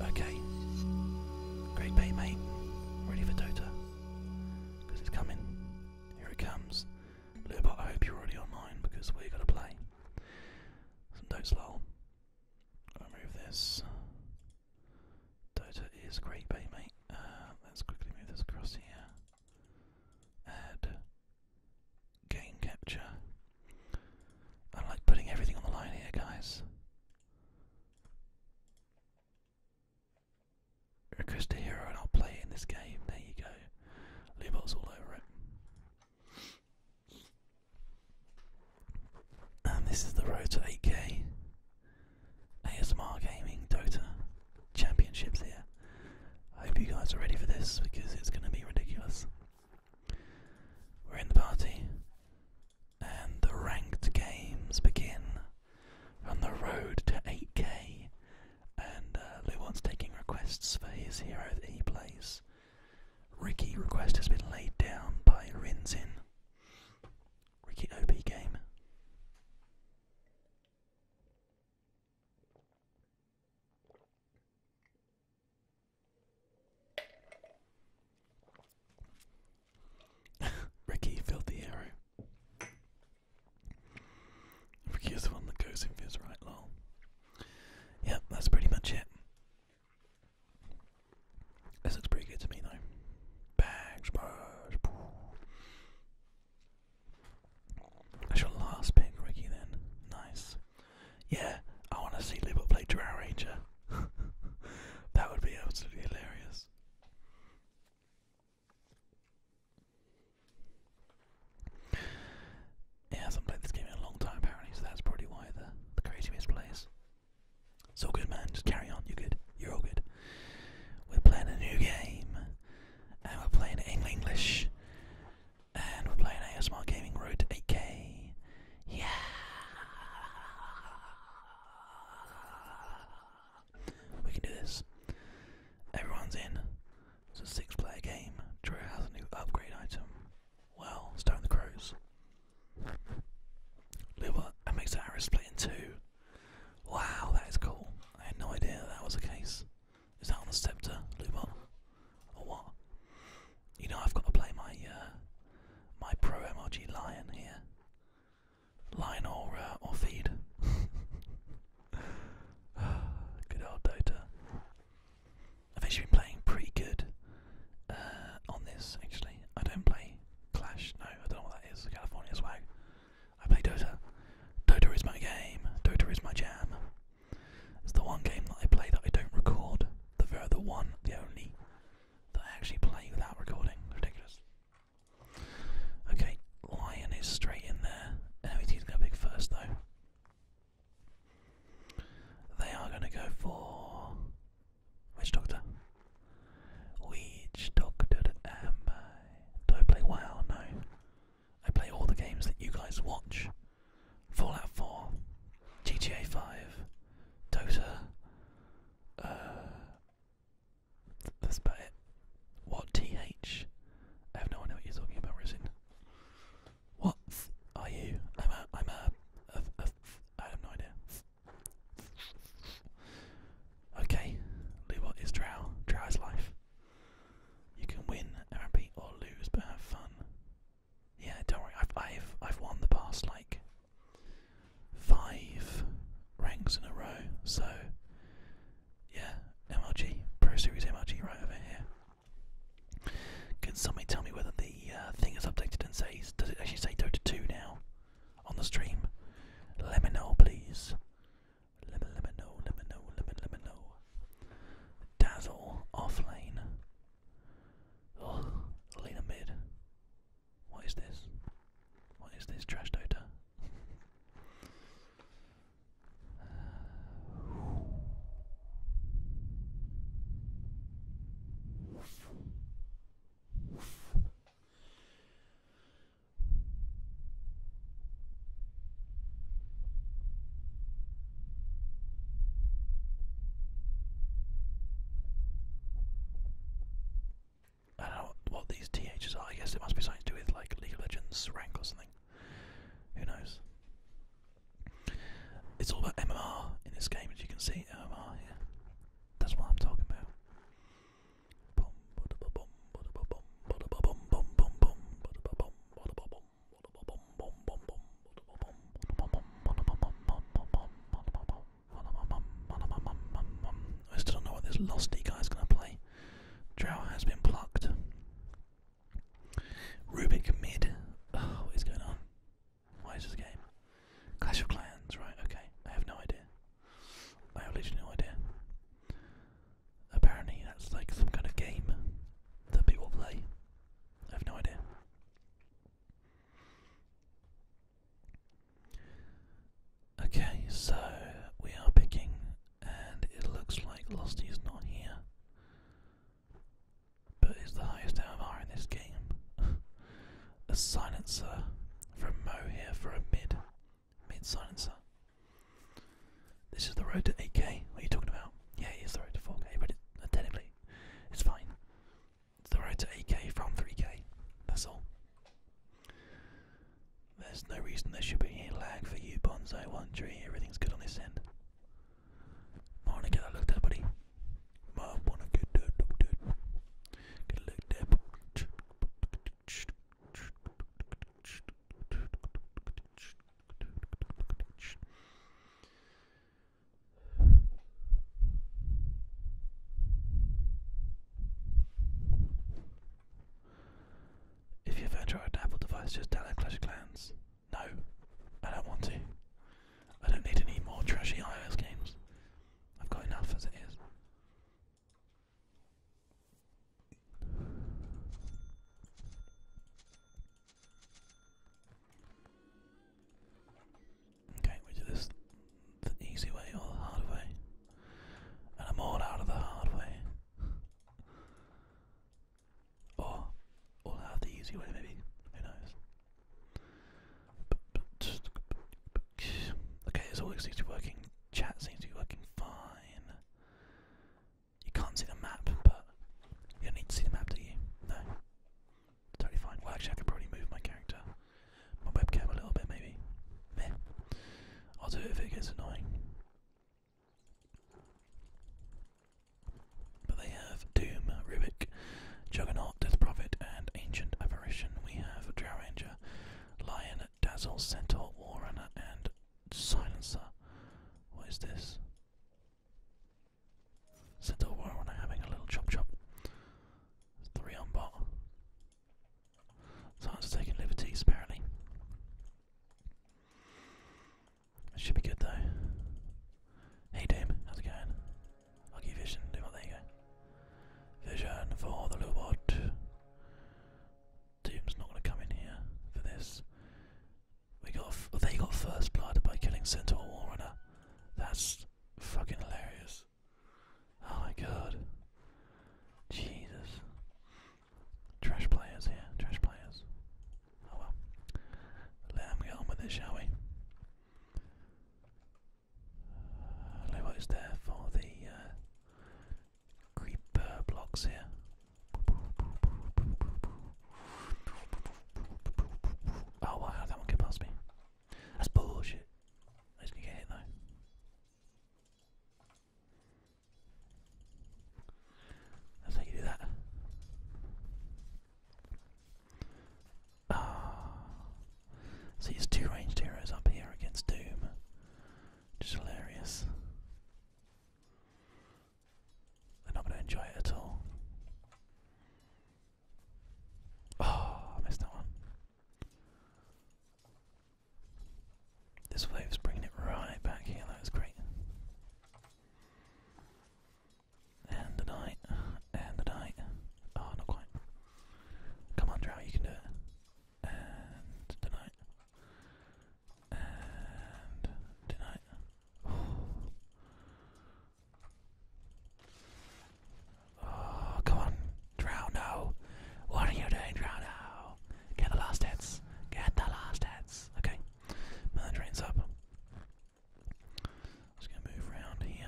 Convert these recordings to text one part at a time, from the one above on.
Okay. Great bay, mate. Ready for Dota. it's coming. Here it comes. little Lubot, I hope you're already online because we're going to play. Some Dota's lol. i this. Dota is great bay, mate. Uh, let's quickly move this across here add game capture. I like putting everything on the line here, guys. Request a hero and I'll play in this game. There you go. Lubot's all over it. And this is the road to 8k. ASMR Gaming Dota Championships here. I hope you guys are ready for this because it's going to be ridiculous. We're in the party, and the ranked games begin on the road to 8k. And uh, Luwan's taking requests for his hero that he plays. Ricky request has been laid down by Rinzin. Ricky OP game. Ricky, filthy hero. Ricky is the one that goes in for his right lol. Yep, that's pretty much it. This looks pretty good to me though. Bags, bags. That's your last pick, Ricky, then. Nice. Yeah, I want to see Liverpool play Drow that would be absolutely hilarious. He hasn't played in a long time, apparently, so that's probably why the, the creative misplays. It's all good, man. Just carry on. You're good. You're all good. We're playing a new game and we're playing English, and we're playing ASMR Gaming Road 8K. Yeah. We can do this. Everyone's in. It's a six-player game. Drew has a new upgrade item. Well, Stone the Crows. Luba and makes Iris split in two. Wow, that is cool. I had no idea that was the case. Is that on the scepter, Lubon? Or what? You know I've got to play my uh, my pro MRG lion here. Lion or uh, or feed. good old Dota. I've actually been playing pretty good uh, on this actually. I don't play Clash. No, I don't know what that is. California swag. I play Dota. Dota is my game. Dota is my jam. It's the one game that I play that I don't record. The the one, the only that I actually play without recording. Ridiculous. Okay, Lion is straight in there. NOET's gonna big first though. They are gonna go for Witch Doctor. Witch Doctor am I? Do I play WoW? No. I play all the games that you guys watch Fallout 4, GTA 5, Dota. Uh, that's about it. What TH? I have no idea what you're talking about, Resin. What are you? I'm a. I'm a, a, a. I have no idea. Okay. Lou, what is Drow? Drow is life. You can win or lose, but have fun. Yeah, don't worry. I've I've I've won the past like five ranks in a row. So yeah, MLG Pro Series MLG right over here. Can somebody tell me whether the uh, thing is updated and says does it actually say Dota 2 now on the stream? Let me know, please. Lemon lemon no lemon no lemon lemon no. Dazzle off lane. Ugh, Lena mid. What is this? What is this trash dota? I don't know what, these THs are. I guess it must be something to do with like League of Legends rank or something. Who knows? It's all about MMR in this game, as you can see. MMR, yeah. That's what I'm talking about. I still don't know what this Losty guy's gonna play. Drow has been plucked. Rubik mid. Oh, what is going on? Why is this game? Clash of Clans, right, okay. I have no idea. I have literally no idea. Apparently, that's like some kind of game that people play. I have no idea. Okay, so we are picking, and it looks like Losty is not here. But it's the highest MMR in this game. a silencer from Mo here for a mid. Mid silencer. This is the road to 8K. What are you talking about? Yeah, it is the road to 4K, but it, uh, technically, it's fine. It's the road to 8K from 3K. That's all. There's no reason there should be any lag for you, Bonzo One three, Everything's good on this end. I want to get that looked at, buddy. I want to get that looked at. Get if you've ever tried an Apple device, just download Clash of Clans. No, I don't want to. I don't need any more trashy iOS games. I've got enough as it is. Okay, we do this the easy way or the hard way. And I'm all out of the hard way. or all out the easy way maybe. Who knows? Okay, it's all seems to be working. Chat seems to be working fine. You can't see the map, but you don't need to see the map, do you? No. totally fine. Well, actually, I could probably move my character, my webcam a little bit, maybe. Meh. I'll do it if it gets annoying. But they have Doom, Rubik, Juggernaut, Death Prophet, and Ancient Apparition. We have Drow Ranger, Lion, Dazzle, Centaur, Warrunner, and silencer. What is this? Sent war when I'm having a little chop chop. Three on bot. Someone's taking liberties apparently. should be good though. Hey Dame, how's it going? i vision, Dame, there you go. Vision for the low bot. Doom's not going to come in here for this. We got they got first blood by killing Centaur Warrunner. That's fucking hilarious. Oh my god. Jesus. Trash players here, trash players. Oh well. Let them get on with it, shall we? Uh, there for the uh, creeper blocks here. Oh wow, that one get past me. That's bullshit. I just gonna get hit though. That's how you do that. Ah, see, it's two ranged heroes up here against Doom. Just hilarious. They're not going to enjoy it at all. Oh, I missed that one. This wave's bringing it right back here, that was great. And a night, and a night. Oh, not quite. Come on, Drow, you can do it. And a night. Oh, come on. Drown now. What are you doing, Drown now? Get the last hits. Get the last hits. Okay. Mother drain's up. Just gonna move around here.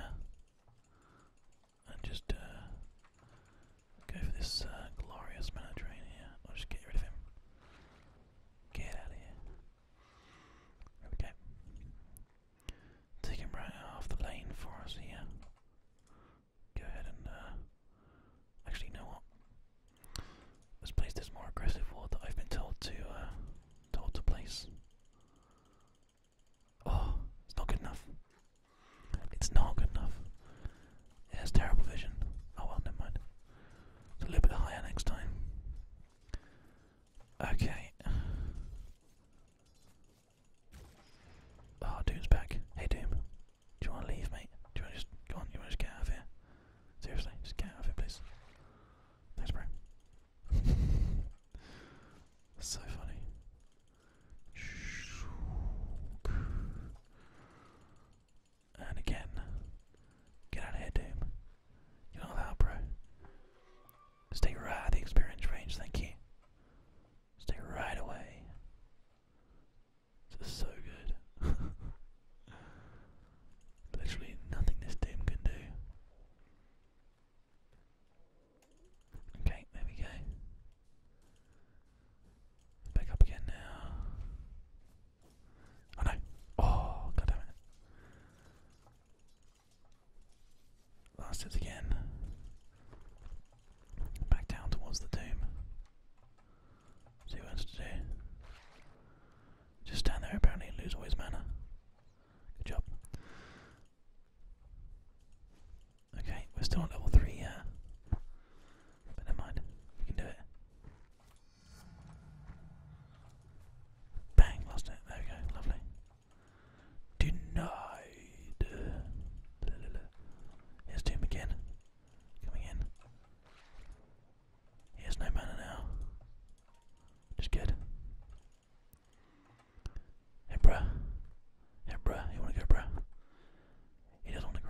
And just uh, go for this uh, glorious mana I'll just get rid of him. Get out of here. There Take him right out the lane for us here. Go ahead and, uh, actually, you what? Let's place this more aggressive ward that I've been told to, uh, told to place. Oh, it's not good enough. It's not good enough has terrible vision. Oh well, never mind. It's a little bit higher next time. Okay. Oh, Doom's back. Hey Doom, do you want to leave, mate? Do you want to just go on? You want to just get out of here? Seriously, just get out of here, please. Thanks, bro. so funny. And again. Get out of here, Doom. You're not allowed, bro. Stay right out the experience range, thank you. Stay right away. This is so good. Literally nothing this Doom can do. Okay, there we go. Back up again now. Oh no. Oh, god it. Last hit again. Back down towards the tomb. See what else to do. Just stand there apparently and lose all his mana. Good job. Okay, we're still on level 3 But never mind, we can do it. Bang, lost it. There we go, lovely. Denied. Here's Doom again. Coming in. He has no mana now. Just good. Hey bruh. Hey bruh, you wanna go bruh? He doesn't wanna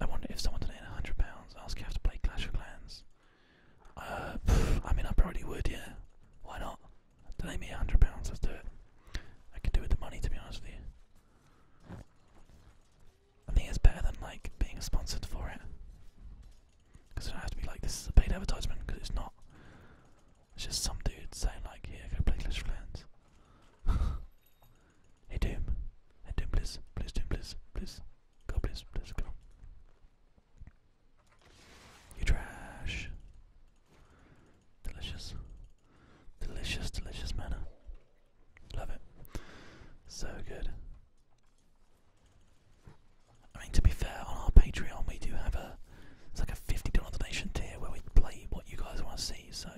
I wonder if someone donated hundred pounds, I ask you have to play Clash of Clans. Uh, I mean, I probably would, yeah. Why not? Donate me hundred pounds, let's do it. I can do with the money, to be honest with you. I think it's better than like being sponsored for it, because it has to be like this is a paid advertisement, because it's not. It's just some dude saying like, "Here, go play Clash of Clans." Hey Doom. Hey Doom please. Please Doom please. Please. Go please. Please go. You trash. Delicious. Delicious, delicious manner. Love it. So good. I mean to be fair, on our Patreon we do have a it's like a fifty dollar donation tier where we play what you guys want to see, so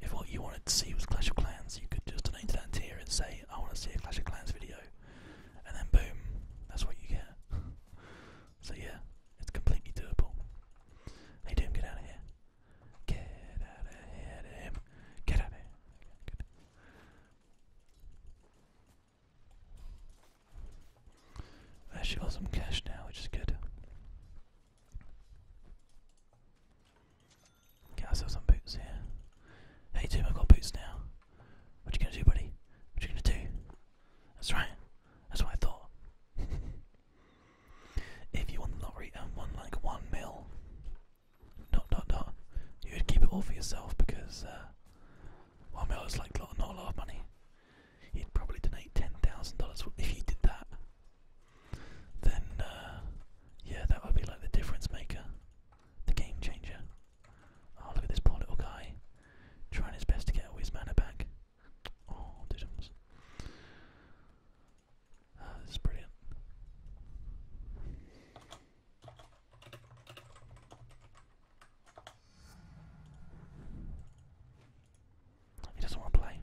if what you wanted to see was Clash of Clans, you could just donate to that tier and say, I want to see a Clash of Clans video. And then boom, that's what you get. so yeah, it's completely doable. Hey Doom, get out of here. Get out of here, Doom. Get out of here. I should have some cash now, which is good. Get ourselves some boots here. Hey Tim, I've got boots now. What you gonna do, buddy? What you gonna do? That's right. That's what I thought. if you won the lottery and won like one mil, dot dot dot, you would keep it all for yourself because uh, one mil is like not a lot of money. You'd probably donate ten thousand dollars if you did that then uh, yeah, that would be like the difference maker, the game changer. Oh, look at this poor little guy trying his best to get all his mana back. Oh, diddums. Ah, this is brilliant. He doesn't want to play.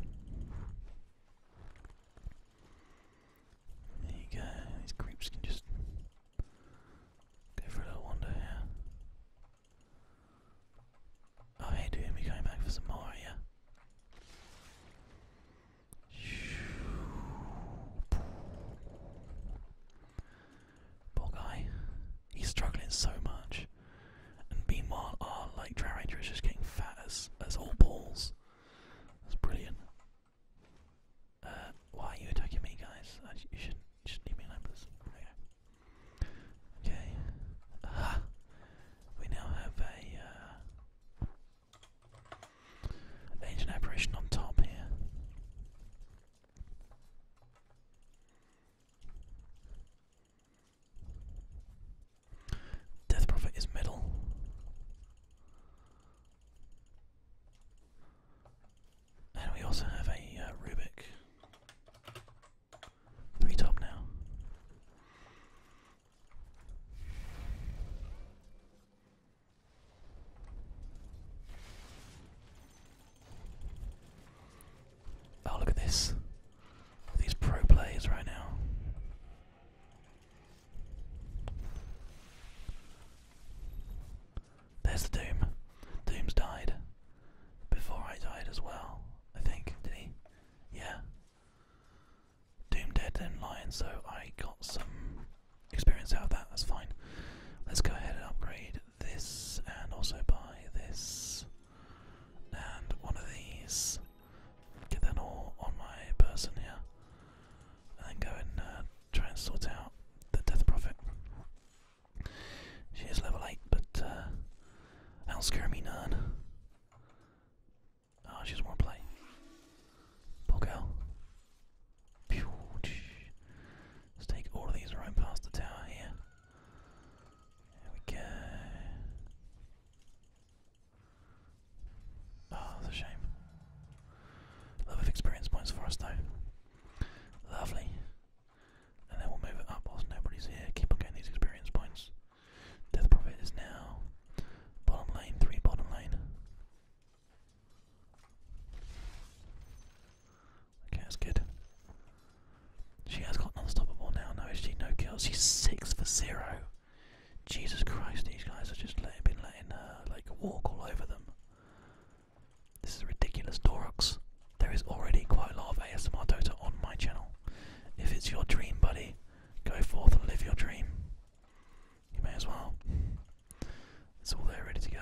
There you go, these creeps can just go for a little wander here. Oh hey dude, we going back for some more, yeah? Poor guy. He's struggling so much. And meanwhile our like Dry Ranger is just getting fat as as all balls. That's brilliant. Uh, why are you attacking me, guys? I, you shouldn't, shouldn't leave me alone, please. Okay. We now have a, ancient uh, apparition on top here. Death Prophet is middle. And we also have a uh, Rubik. Three top now. Oh, look at this. These pro players right now. There's the Doom. Doom's died. Before I died as well, I think. Did he? Yeah. Doom dead, and lying. so I got some experience out of that, that's fine. Let's go ahead and upgrade this and also buy this and one of these. Get them all on my person here and then go and uh, try and sort out the Death Prophet. She is level 8, but uh, will scare me none. Oh, ah, she does play. Poor girl. Let's take all of these right past the tower here. There we go. Oh, that's a shame. Love of experience points for us though. Lovely. And then we'll move it up whilst nobody's here. Keep on getting these experience points. Death Prophet is now bottom lane, three bottom lane. Okay, that's good. She has got unstoppable now, no HG, no kills. She's six for zero. Jesus Christ, these guys are just been letting her uh, like walk all over them. This is ridiculous, Dorox. There is already quite a lot of ASMR Dota on my channel. If it's your dream, buddy, go forth and live your dream. You may as well. It's all there ready to go.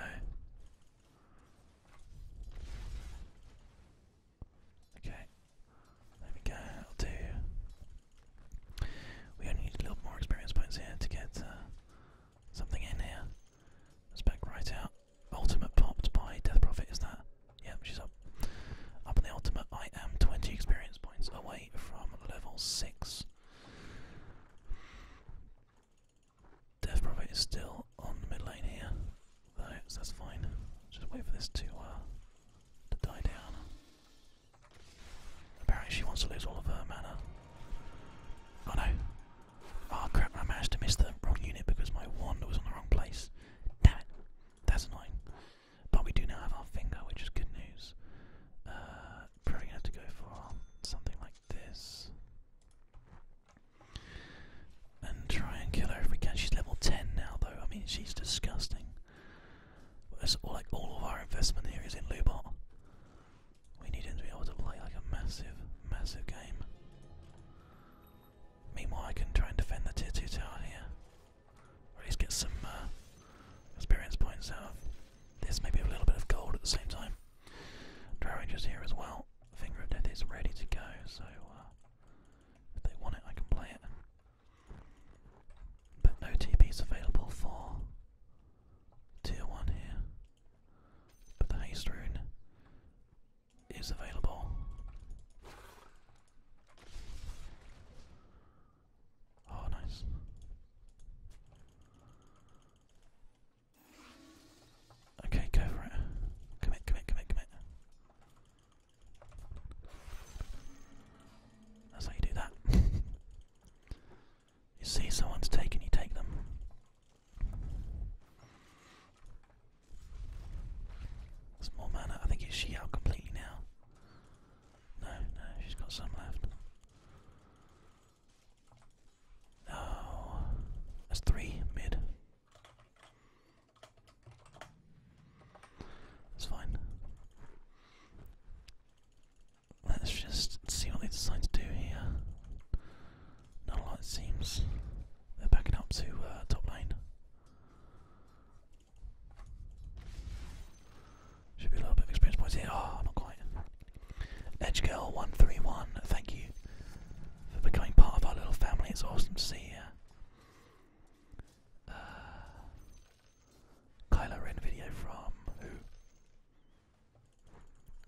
Okay, there we go. I'll do we only need a little more experience points here to get uh, something in here. Let's back right out. Ultimate popped by Death Prophet, is that? Yep, she's up. Up in the ultimate, I am 20 experience points away from level 6. Death Prophet is still on the mid lane here, so that's fine. Just wait for this to, uh, to die down. Apparently she wants to lose all of her mana. Oh no. Oh crap, I managed to miss the wrong unit because my wand was on the wrong place. Damn it. That's annoying. But we do now have our finger, which is good news. Uh, probably gonna have to go for something like this. And try and kill her if we can. She's level 10 now though. I mean, she's disgusting. It's like all of our investment here is in Lubot. We need him to be able to play like a massive, massive game. Meanwhile, I can try and defend the tier 2 tower here. Or at least get some uh, experience points out of this, maybe a little bit of gold at the same time. Dry Ranger's here as well. Finger of Death is ready to go, so uh, if they want it, I can play it. But no TP's available for tier 1 here. But the haste rune is available. Oh, nice. Okay, go for it. Commit, commit, commit, commit. That's how you do that. You see someone's taken, you take them. There's mana. I think is she out completely now? No, no, she's got some left. Oh, that's three mid. That's fine. Let's just see what they decide to do here. Not a lot, it seems. They're backing up to uh, top lane. Should be a little bit of experience points here. Oh, not quite. Edge 131 thank you for becoming part of our little family. It's awesome to see you. Kylo Ren video from who?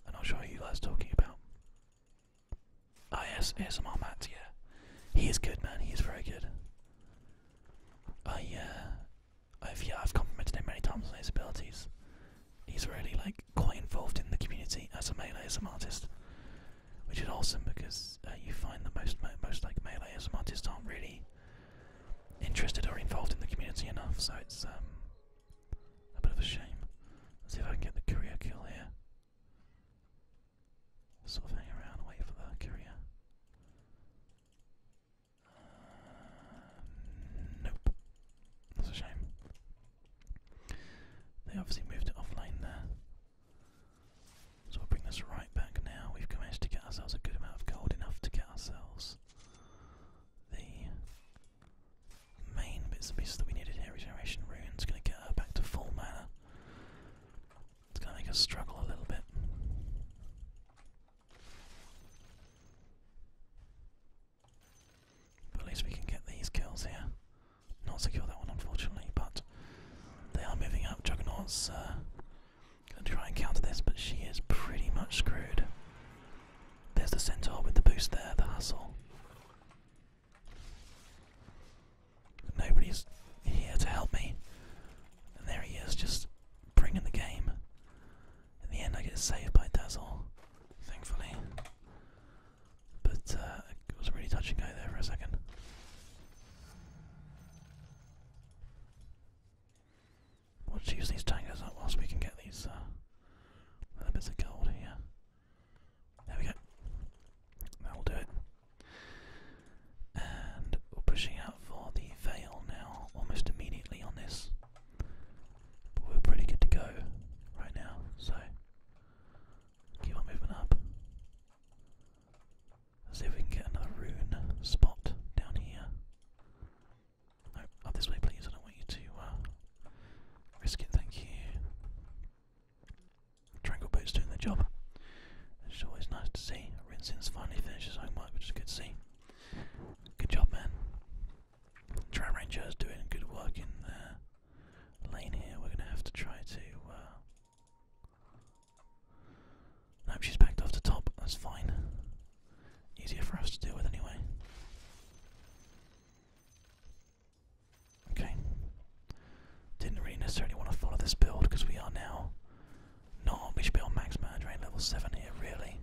I'm not sure who you guys are talking about. Ah yes, ASMR Matt, yeah. He is good man, he is very good. I uh, I've yeah, I've complimented him many times on his abilities. He's really like quite involved in the community as a melee as an artist, which is awesome because uh, you find that most most like melee as artists aren't really interested or involved in the community enough, so it's um, a bit of a shame. see if I can get the courier kill here. Sort of hang around and wait for the courier. Uh, nope. That's a shame. They obviously moved it off there. So we bring this right back now. We've managed to get ourselves a good amount of gold, enough to get ourselves the main bits and pieces that we needed here. Regeneration rune—is gonna get her back to full mana. It's gonna make us struggle a little bit. at least we can get these kills here. Not secure that one unfortunately, but they are moving up. Juggernaut's uh, Gonna try and counter this, but she is pretty much screwed. There's the centaur with the boost there, the hustle. Nobody's here to help me. And there he is, just bringing the game. In the end, I get saved by Dazzle, thankfully. But uh, it was a really touching and there for a second. We'll just use these tangos up whilst we can get these uh, bits of gold here. There we go. That'll do it. And we're pushing out for the veil now, almost immediately on this. But we're pretty good to go right now, so keep on moving up. Let's see if we can get another rune spot down here up this way, please. I don't want you to uh, risk it. Thank you. Triangle boat's doing the job. It's always nice to see. Rinsin's finally finished his homework, which is good to see. Good job, man. Tram Ranger is doing good work in the lane here. We're going to have to try to. Uh... she's backed off the top. That's fine. Easier for us to deal with anyway. Okay. Didn't really necessarily want to follow this build because we are now not we should be on max drain level seven here really.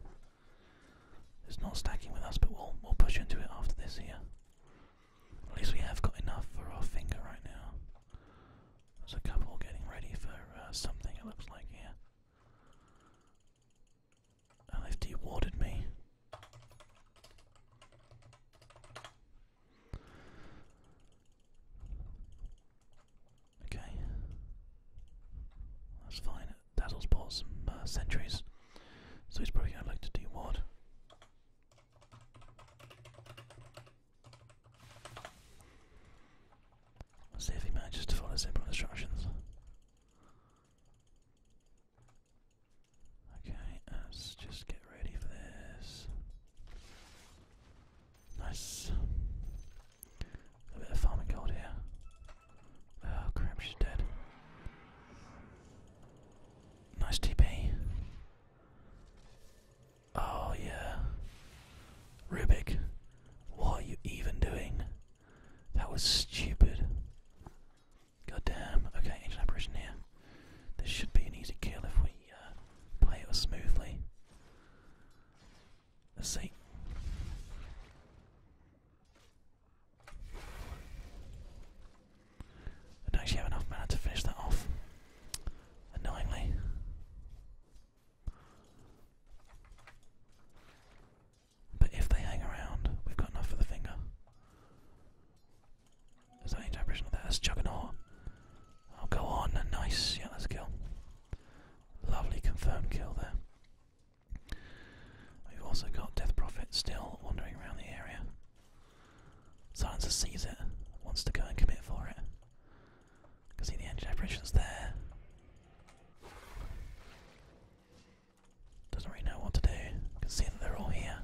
It's not stacking with us, but we'll we'll push into it after this here. At least we have got enough for our finger right now. There's a couple getting ready for uh, something it looks like here. LFD warded me. Okay. That's fine. Dazzle's bought sentries, so he's probably going to look to ward. see if he manages to follow simple instructions. Okay, let's just get ready for this. Nice. A bit of farming gold here. Oh crap, she's dead. Nice TP. Oh yeah. Rubik, what are you even doing? That was stupid. God damn. Okay, engine operation here. This should be an easy kill if we uh, play it smoothly. let I don't actually have enough mana to finish that off. Annoyingly. But if they hang around, we've got enough for the finger. Is any interpretation of that? That's Juggernaut. Oh, go on. Nice. Yeah, kill. Lovely confirmed kill there. We've also got Death Prophet still wandering around the area. Silencer sees it, wants to go and commit for it. Can see the engine is there. Doesn't really know what to do. I can see that they're all here.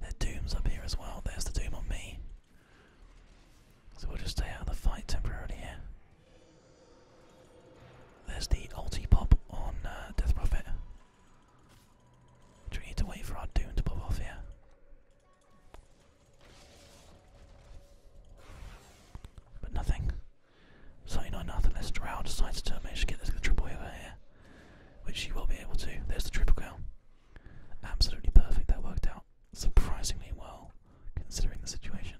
Their doom's up here as well. There's the doom on me. So we'll just stay out of the fight temporarily here. There's the ulti pop on uh, Death Prophet. Do we need to wait for our doom to pop off here. But nothing. 39 nothing, unless Drow decides to manage to get this triple over here, which he will be able to. There's the triple goal. Absolutely perfect, that worked out surprisingly well considering the situation.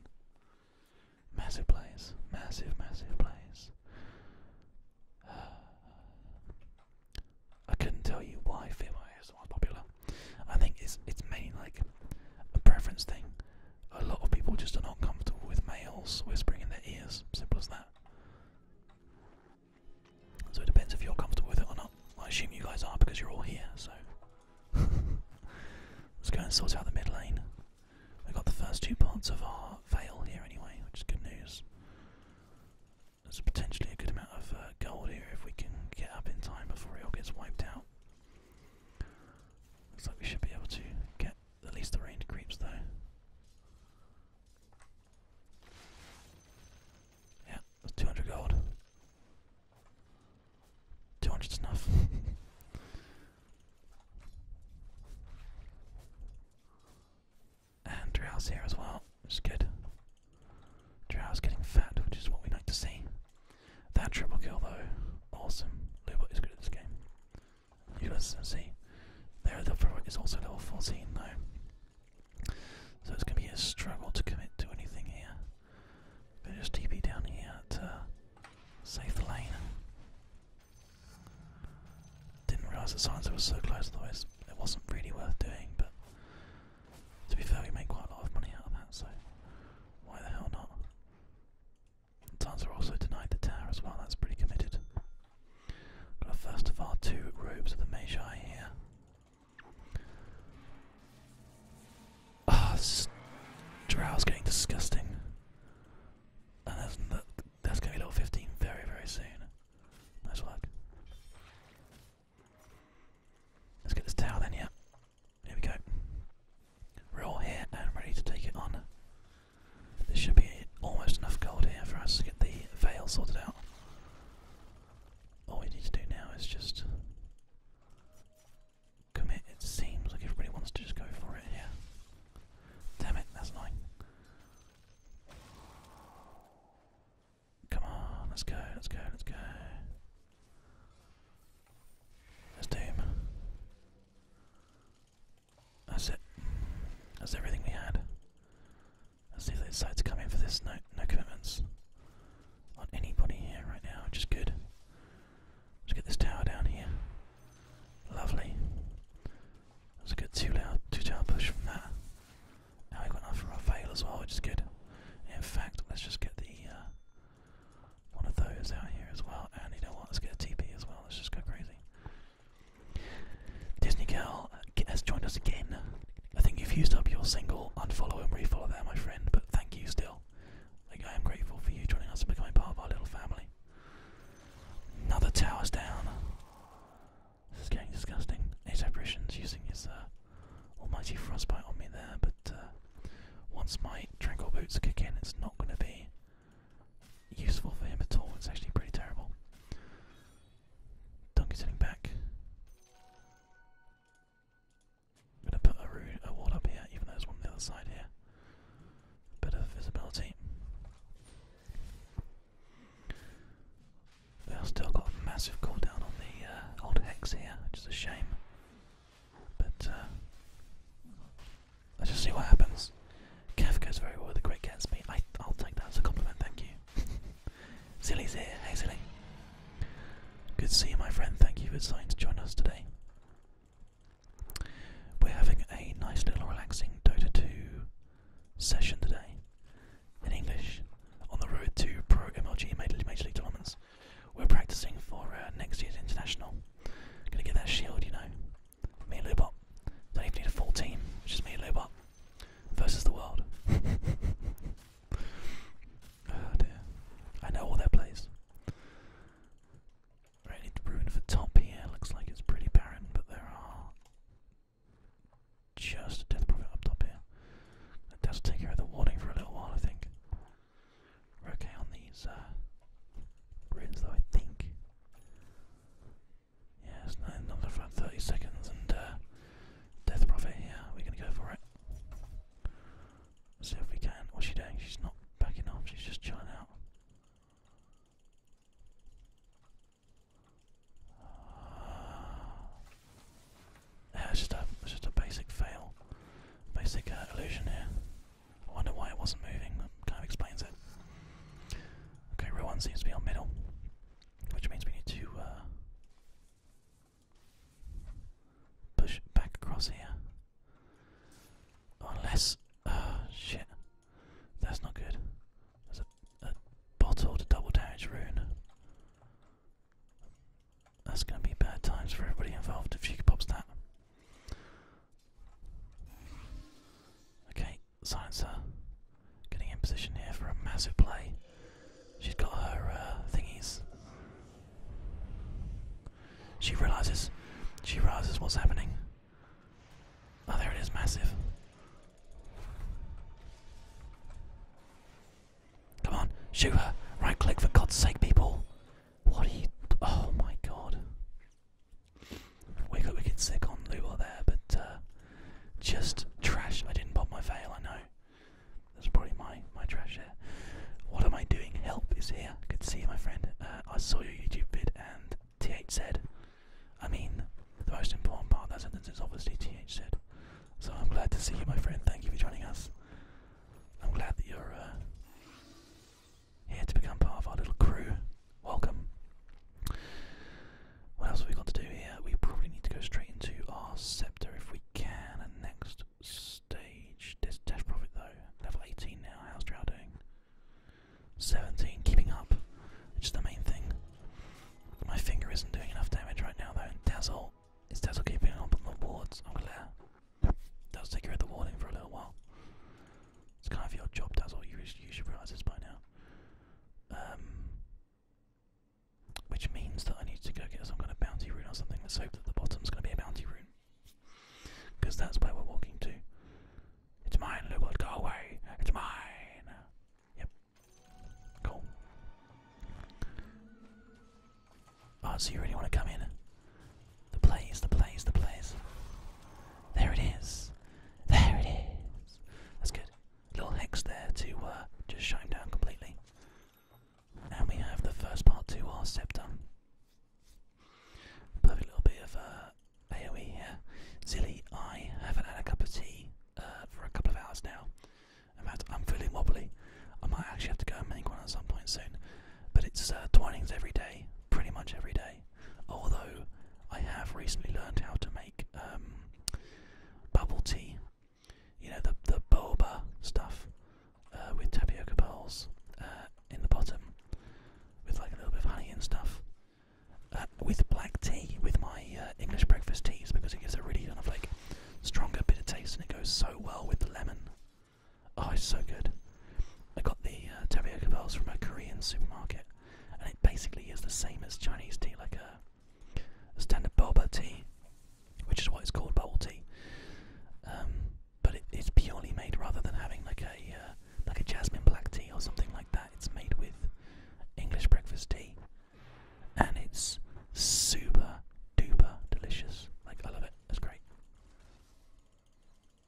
Massive plays, massive, massive plays. I couldn't tell you why Fear is ASMR is popular. I think it's it's mainly like a preference thing a lot of people just are not comfortable with males whispering in their ears. Simple as that. So it depends if you're comfortable with it or not. I assume you guys are because you're all here, so. Let's go and sort out the mid lane. We've got the first two parts of our veil here anyway, which is good news. There's potentially a good amount of uh, gold here if we can get up in time before it all gets wiped out. Looks like we should be able to get at least the ranged creeps though. Yeah, that's 200 gold. 200's enough. and Drow's here as well, which is good. Drow's getting fat, which is what we like to see. That triple kill though, awesome. Luba is good at this game. You guys see, there the Frog is also level 14 though. So it's going to be a struggle to commit to anything here. But just TP down here to save the lane. Didn't realise the signs were so close, otherwise it wasn't really worth doing, but to be fair we made quite a lot of money out of that, so why the hell not? Tans are also denied the tower as well, that's pretty committed. Got a first of our two groups of the Magi here. Ah, oh, Drow's getting disgusting. And that's, that's going to be level 15 very, very soon. Nice work. Let's get this tower then, yeah. There we go. We're and ready to take it on. There should be almost enough gold here for us to get the veil sorted out. All we need to do now is just commit. It seems like everybody wants to just go for it here. Damn it, that's annoying. Come on, let's go, let's go, let's go. That's it. That's everything we had. Let's see if they decide to come in for this. No, no commitments on anybody here right now, which is good. Let's get this tower down here. Lovely. That's a good two loud two tower push from that. Now we've got enough for our fail as well, which is good. In fact, let's just get the uh, one of those out here as well. And you know what? Let's get a TP as well. Let's just go crazy. Disney Girl uh, has joined us again. I think you've used up your single unfollow and refollow there, my friend, but thank you still. I am grateful for you joining us and becoming part of our little family. Another tower's down. This is getting disgusting. Ace Apparition's using his uh, almighty frostbite on me there, but uh, once my tranquil boots kick in, it's not going to be useful for him at all. It's actually pretty terrible. Donkey's heading back. gonna put a, wall up here, even though there's on the other side here. Bit of visibility. still got massive cooldown on the uh, old hex here, which a shame. But uh, let's just see what happens. Kev goes very well with the Great Gatsby. Me, I'll take that as a compliment, thank you. Silly's here. Hey, Silly. Good to see you, my friend. Thank you for deciding to join us today. We're having a nice little relaxing Dota 2 session today in English on the road to Pro MLG Major League, tournaments. We're practicing for uh, next year's international. Gonna get that shield, you know. Me and Lubot. Don't even need a full team, it's just me and Lubot. Versus the world. oh dear. I know all their plays. Right, to ruin for top here. Looks like it's pretty barren, but there are just a death prophet up top here. That does take care of the warding for a little while, I think. We're okay on these uh, runes, though, I think. Yeah, it's another 30 seconds, and uh, Death profit. here. We're going to go for it. see if we can. What's she doing? She's not backing off, she's just chilling out. Uh, yeah, it's just a, it's just a basic fail, basic uh, illusion here. I wonder why it wasn't moving, that kind of explains it. Okay, row seems to be on middle, which means we need to uh, push back across here. Unless. Oh, uh, shit. That's not good. There's a, a bottle to double damage rune. That's going to be bad times for everybody involved if she pops that. Okay, Silencer getting in position here for a massive play. She's got her uh, thingies. She realizes. She realizes what's happening. Oh, there it is, massive. Come on, shoot her. Right click for God's sake, people. What are you. Oh my god. We got wicked sick on Luba there, but uh, just trash. I didn't pop my veil, I know. That's probably my, my trash there. What am I doing? Help is here. Good to see you, my friend. Uh, I saw your YouTube vid and TH said, I mean, the most important part of that sentence is obviously TH said. So I'm glad to see you, my friend. Thank you for joining us. I'm glad that you're uh, here to become part of our little crew. Welcome. What else we got to do here? We probably need to go straight into our scepter if we can. next stage, dash profit though. Level 18 now. How's Drow doing? 17. Keeping up, which is the main thing. My finger isn't doing enough damage right now though. Dazzle. Is Dazzle keeping up on the wards? I'm glad. Does take you out the warning for a little while. It's kind of your job, does' all you, should realise this by now. Um, which means that I need to go get some kind of bounty rune or something. Let's hope that the bottom's going to be a bounty rune. Because that's where we're walking to. It's mine, Lubot, go away! It's mine! Yep. Cool. Ah, oh, so you really want to come in? The blaze, the blaze, the blaze. There it is. There it is. That's good. Little hex there to uh, just shut him down completely. And we have the first part to our scepter. Perfect little bit of uh, AoE here. Zilly, I haven't had a cup of tea uh, for a couple of hours now. In fact, I'm feeling wobbly. I might actually have to go and make one at some point soon. But it's uh, twinnings every day, pretty much every day. Although I have recently learned how to make um, bubble tea, you know the the boba stuff uh, with tapioca pearls uh, in the bottom, with like a little bit of honey and stuff, uh, with black tea with my English breakfast teas because it gives a really kind of like stronger bitter taste and it goes so well with the lemon. Oh, it's so good. I got the uh, tapioca pearls from a Korean supermarket, and it basically is the same as Chinese tea, like a, a standard boba tea, which is what it's called, bubble tea. Um, but it's purely made rather than having like a uh, like a jasmine black tea or something like that. It's made with English breakfast tea, and it's super duper delicious. Like I love it. That's great.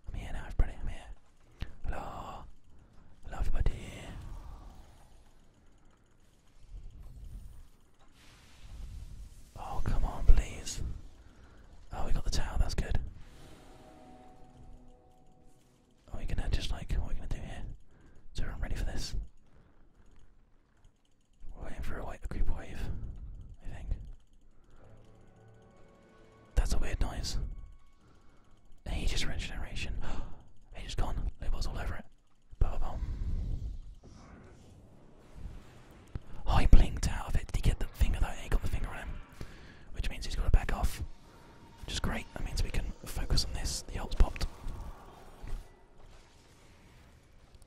I'm here now, everybody. I'm here. Hello. Hello, everybody. Oh, come on, please. Oh, we got the tower. That's good. Are we gonna just like what are we gonna do here? Is everyone ready for this? We're waiting for a, a creep wave, I think. That's a weird noise. He just generation. he just gone. It was all over it. Ba oh, he blinked out of it. Did he get the finger though? He got the finger on him, which means he's got to back off. Just great. That means we can focus on this. The ult's popped.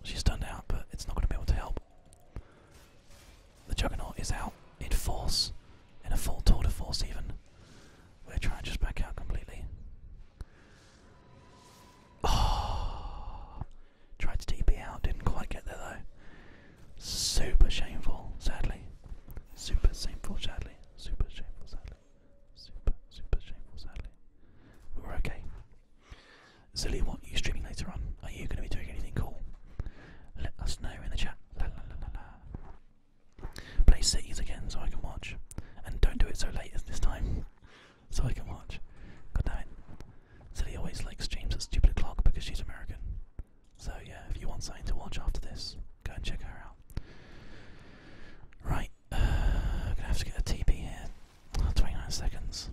She's turned out, but it's not going to be able to help the Juggernaut is out in force, in a full tour de force even. We're trying to just back out completely. Oh, tried to TP out, didn't quite get there though. Super shameful, sadly. Super shameful, sadly. Super shameful, sadly. Super, super shameful, sadly. we're okay. Zilly, what are you streaming later on? Are you going to be doing anything cool? Let us know in the chat. Play Cities again so I can watch. And don't do it so late as this time. So I can watch. God damn it. Silly always likes James at stupid o'clock because she's American. So yeah, if you want something to watch after this, go and check her out. Right, uh, I'm gonna have to get a TP here. 29 seconds.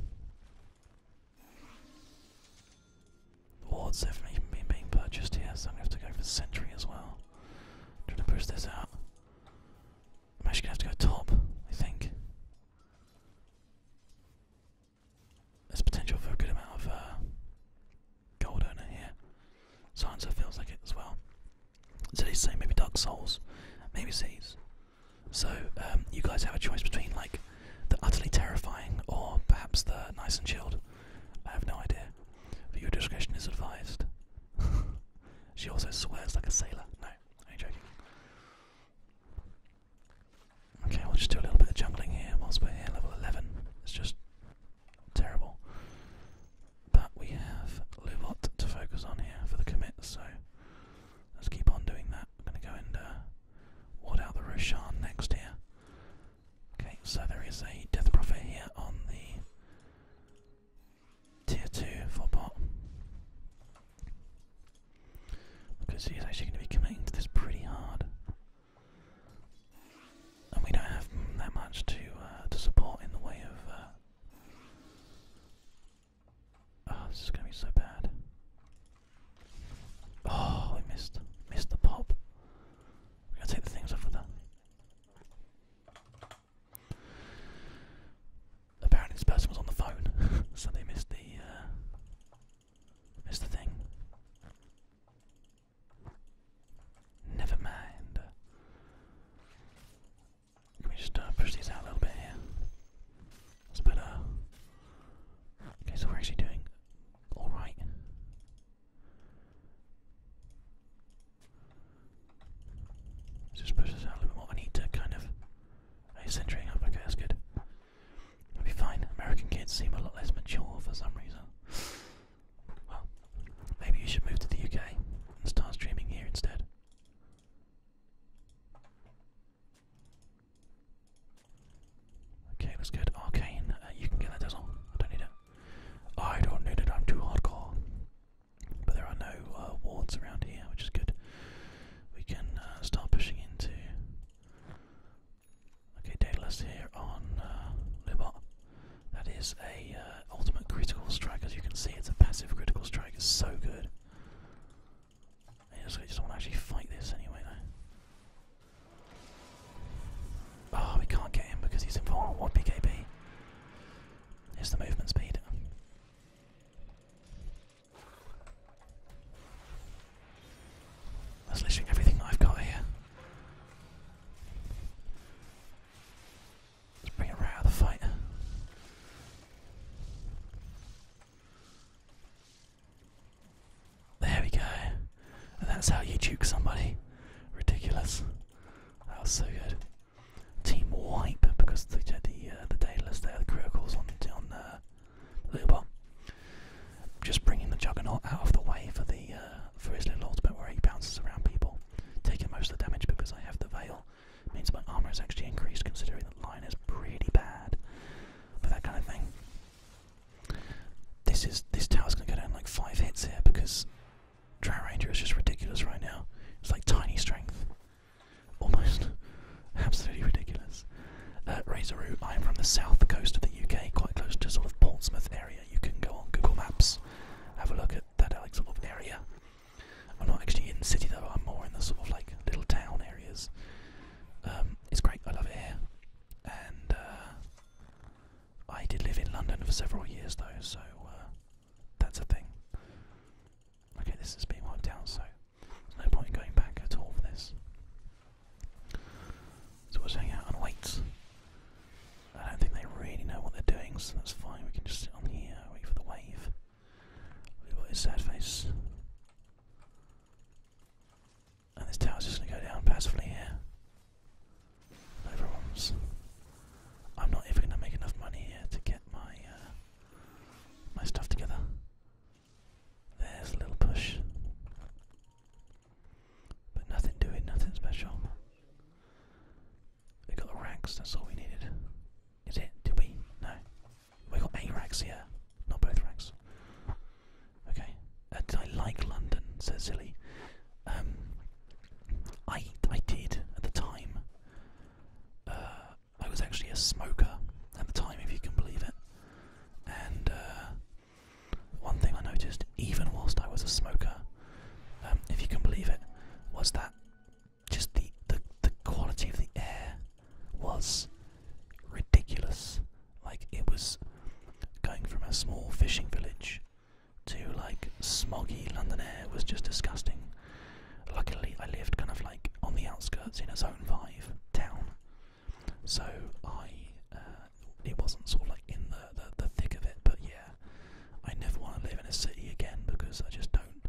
War's definitely been being purchased here, so I'm going to have to go for the sentry as well. I'm trying to push this out. I'm actually going to have to go top, I think. There's potential for a good amount of uh, gold owner here. Science feels like it as well. So they say maybe Dark Souls, maybe Seas. So um, you guys have a choice between like the utterly terrifying, or perhaps the nice and chilled. I have no idea, but your discretion is advised. she also swears like a sailor. No, I'm joking. Okay, we'll just do a little bit of jungling here whilst we're here, level 11. It's just terrible. But we have Luvot to focus on here for the commit, so let's keep on doing that. I'm going to go and uh, ward out the Roshan next here. Okay, so there is a Death Prophet here on the tier 2 for bot. Because he's actually going to be committing to this pretty hard. And we don't have that much to uh, to support in the way of. Uh, oh, this is going to be so bad. Oh, we missed. Missed the pop. We gotta take the things off with that. Apparently, this person was on the phone, so they missed the uh, missed the thing. Never mind. we just uh, push these out a little bit here? That's Okay, so we're actually doing all right. Just push this out a little more. I need to kind of. centering up? Okay, that's good. It'll be fine. American kids seem a lot less mature for some reason. Well, maybe you should move to the UK and start streaming here instead. Okay, that's good. Arcane, uh, you can get that Dazzle. I don't need it. I don't need it, I'm too hardcore. But there are no uh, wards around here, which is good. We can uh, start pushing into. Okay, Daedalus here on uh, Lubot. That is a uh, ultimate critical strike, as you can see. It's a passive critical strike. It's so good. I just, I just want to actually fight this anyway, though. Oh, we can't get him because he's in invulnerable. What BKB? Here's the movement speed. That's literally everything I've got here. Let's bring it right out of the fight. There we go. that's how you juke somebody. Ridiculous. That was so good. Team wipe because they had the uh, the Daedalus there, the criticals on on uh, little bomb. Just bringing the juggernaut out of the way for the uh, for his little ultimate where he bounces around people, taking most of the damage because I have the veil. means my armor is actually increased considering the lion is pretty bad for that kind of thing. This is this tower's gonna go down like five hits here because Drow Ranger is just ridiculous right now. It's like tiny strength. Almost absolutely ridiculous. Uh, Razoroo, I am from the south coast of the UK, quite close to sort of Portsmouth area. You can go on Google Maps, have a look at that like, sort of area. I'm not actually in the city though, I'm more in the sort of like little town areas. Um, it's great, I love it here. And uh, I did live in London for several years though, so uh, that's a thing. Okay, this is being wiped out, so there's no point going back at all for this. So we'll just hang out and wait. I don't think they really know what they're doing, so that's fine. We can just sit on here, wait for the wave. Look at his sad face. And this tower's just going to go down passively here. No I'm not even going to make enough money here to get my uh, my stuff together. There's a little push. But nothing doing, nothing special. We got the racks, that's all we needed. Is it? Did we? No. We got eight racks here, not both racks. Okay. I like London? Says Silly. Um, I I did at the time. Uh, I was actually a smoker at the time, if you can believe it. And uh, one thing I noticed, even whilst I was a smoker, um, if you can believe it, was that just the the quality of the air was ridiculous. Like it was going from a small fishing village to like smoggy London air was just disgusting. Luckily, I lived kind of like on the outskirts in a zone five town, so I uh, it wasn't sort of like in the, the thick of it. But yeah, I never want to live in a city again because I just don't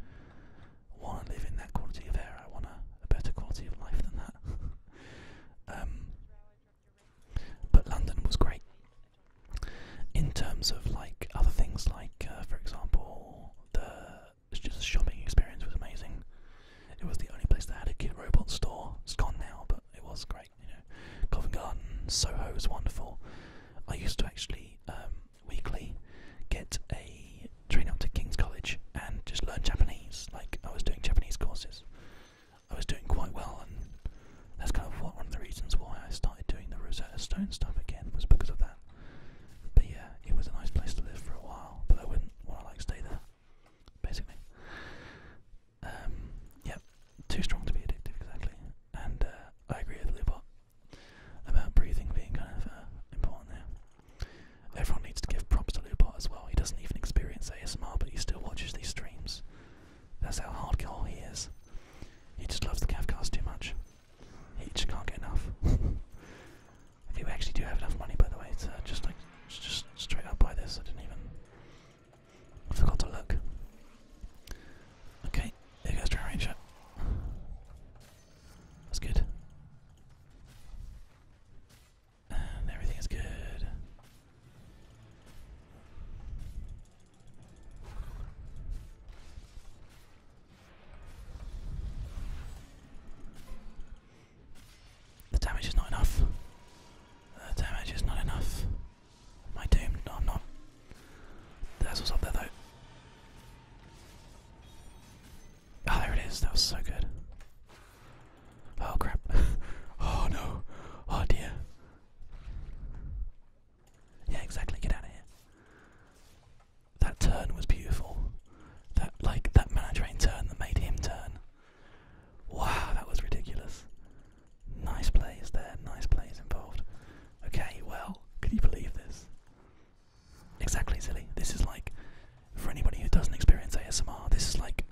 want to live in that quality of air. I want a, a better quality of life than that. um, but London was great in terms of like other things, like uh, for example, the just shopping experience was amazing. It was the only place that had a Kid Robot store. It's gone now, but it was great. You know, Covent Garden, Soho was wonderful. I used to actually um, weekly get a train up to King's College and just learn Japanese. Like I was doing Japanese courses. I was doing quite well, and that's kind of one of the reasons why I started doing the Rosetta Stone stuff again was because of that. But yeah, it was a nice place to live for a while, but I wouldn't want to like stay there, basically. Um, yeah, too strong to be addictive, exactly. And uh, I agree with Lubot about breathing being kind of uh, important there. Everyone needs to give props to Lubot as well. He doesn't even experience ASMR, but he still watches these streams. That's how hardcore he is. He just loves the cav cars too much. He just can't get enough. okay, we actually do have enough money, by the way, to uh, just like just straight up buy this. I didn't even. I forgot to look. Okay, there goes Dragon Ranger. That's good. And everything is good. The damage is not enough. The damage is not enough. My doom, no, i not. That's what's up there though. Oh, there it is. That was so good. Oh crap. oh no. Oh dear. Yeah, exactly. Get out of here. That turn was beautiful. That like that mana turn that made him turn. Wow, that was ridiculous. Nice plays there. Nice plays involved. Okay, well, can you believe this? Exactly, silly. This is like for anybody who doesn't experience ASMR. This is like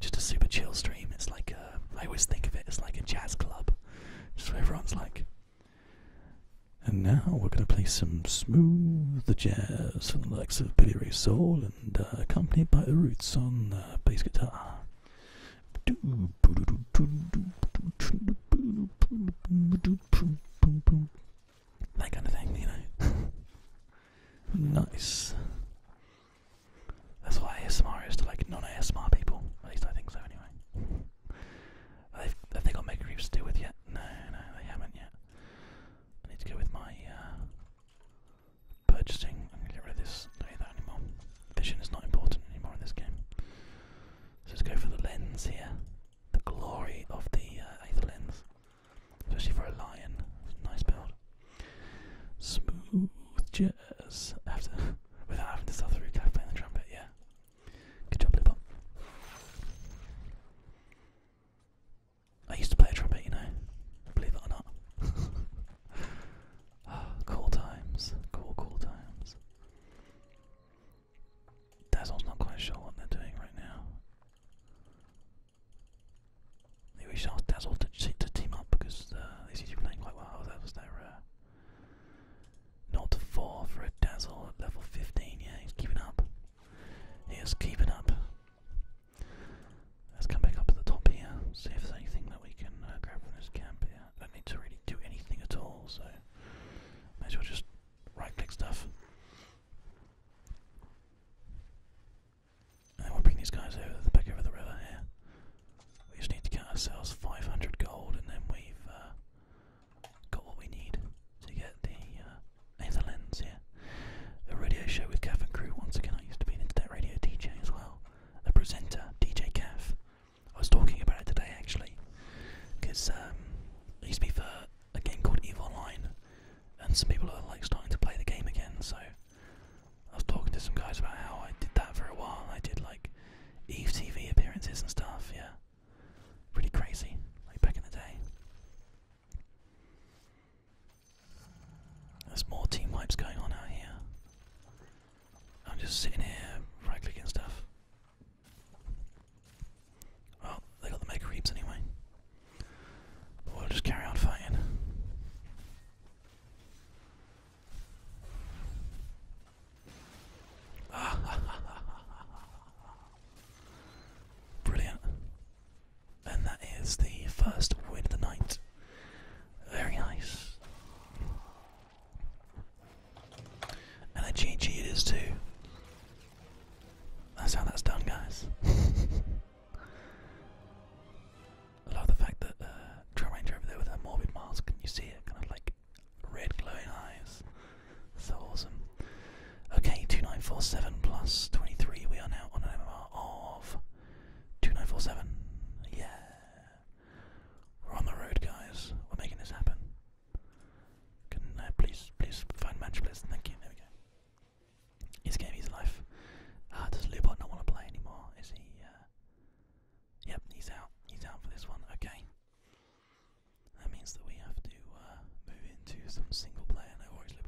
just a super chill stream. It's like a, uh, I always think of it as like a jazz club, just where everyone's like. And now we're going to play some smooth jazz from the likes of Billy Ray Soul and uh, accompanied by the Roots on uh, bass guitar. That kind of thing, you know. nice. That's what ASMR is to like non-ASMR people. At least I think so, anyway. I think I'll make a Reefs to do with yet? No, no, they haven't yet. I need to go with my uh, purchasing. I'm gonna get rid of this. Don't need that anymore. Vision is not important anymore in this game. So let's go for the lens here. The glory of the uh, Aether lens, especially for a lion. nice build. Smooth jazz. After, without having to start the root, can I the trumpet? Yeah. Good job, Lipop. I used to play a trumpet, you know. Believe it or not. Ah, cool times. Cool, cool times. Dazzle's not quite sure what they're doing right now we should ask Dazzle to, team up because uh, he's playing quite well. That was their uh, not four for a Dazzle at level 15. Yeah, he's keeping up. He is keeping up. Let's come back up to the top here, see if there's anything that we can uh, grab from this camp here. I don't need to really do anything at all, so may as well just right click stuff we'll bring these guys over the back over the river here. We just need to get ourselves 500 gold, and then we've uh, got what we need to get the uh, Lens here. A radio show with Gaff and Crew once again. I used to be an internet radio DJ as well, a presenter, DJ Gaff. I was talking about it today actually, because um, it used to be for a game called EVE Online, and some people are like starting to play the game again, so I was talking to some guys about how I did that for a while. I did like Eve TV appearances and stuff. Yeah, pretty crazy, like back in the day. There's more team wipes going on out here. I'm just sitting here right clicking stuff. Well, they got the mega reaps anyway. we'll just carry on fighting. Brilliant. And that is the first win of the night. Very nice. And a too. That's how that's done, guys. I love the fact that uh, Trail Ranger over there with her morbid mask, and you see it kind of like red glowing eyes. So awesome. Okay, 2947 plus 23, we are now on an MMR of 2947. Yeah. We're on the road, guys. We're making this happen. Can uh, please, please find match please. Thank you. There we go. He's giving his life. does Lubot not want to play anymore? Is he? Uh, Yep, he's out. He's out for this one. Okay. That means that we have to uh, move into some single player. No worries, And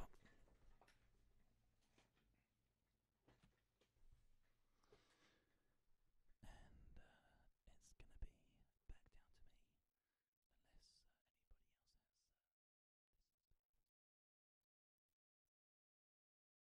uh,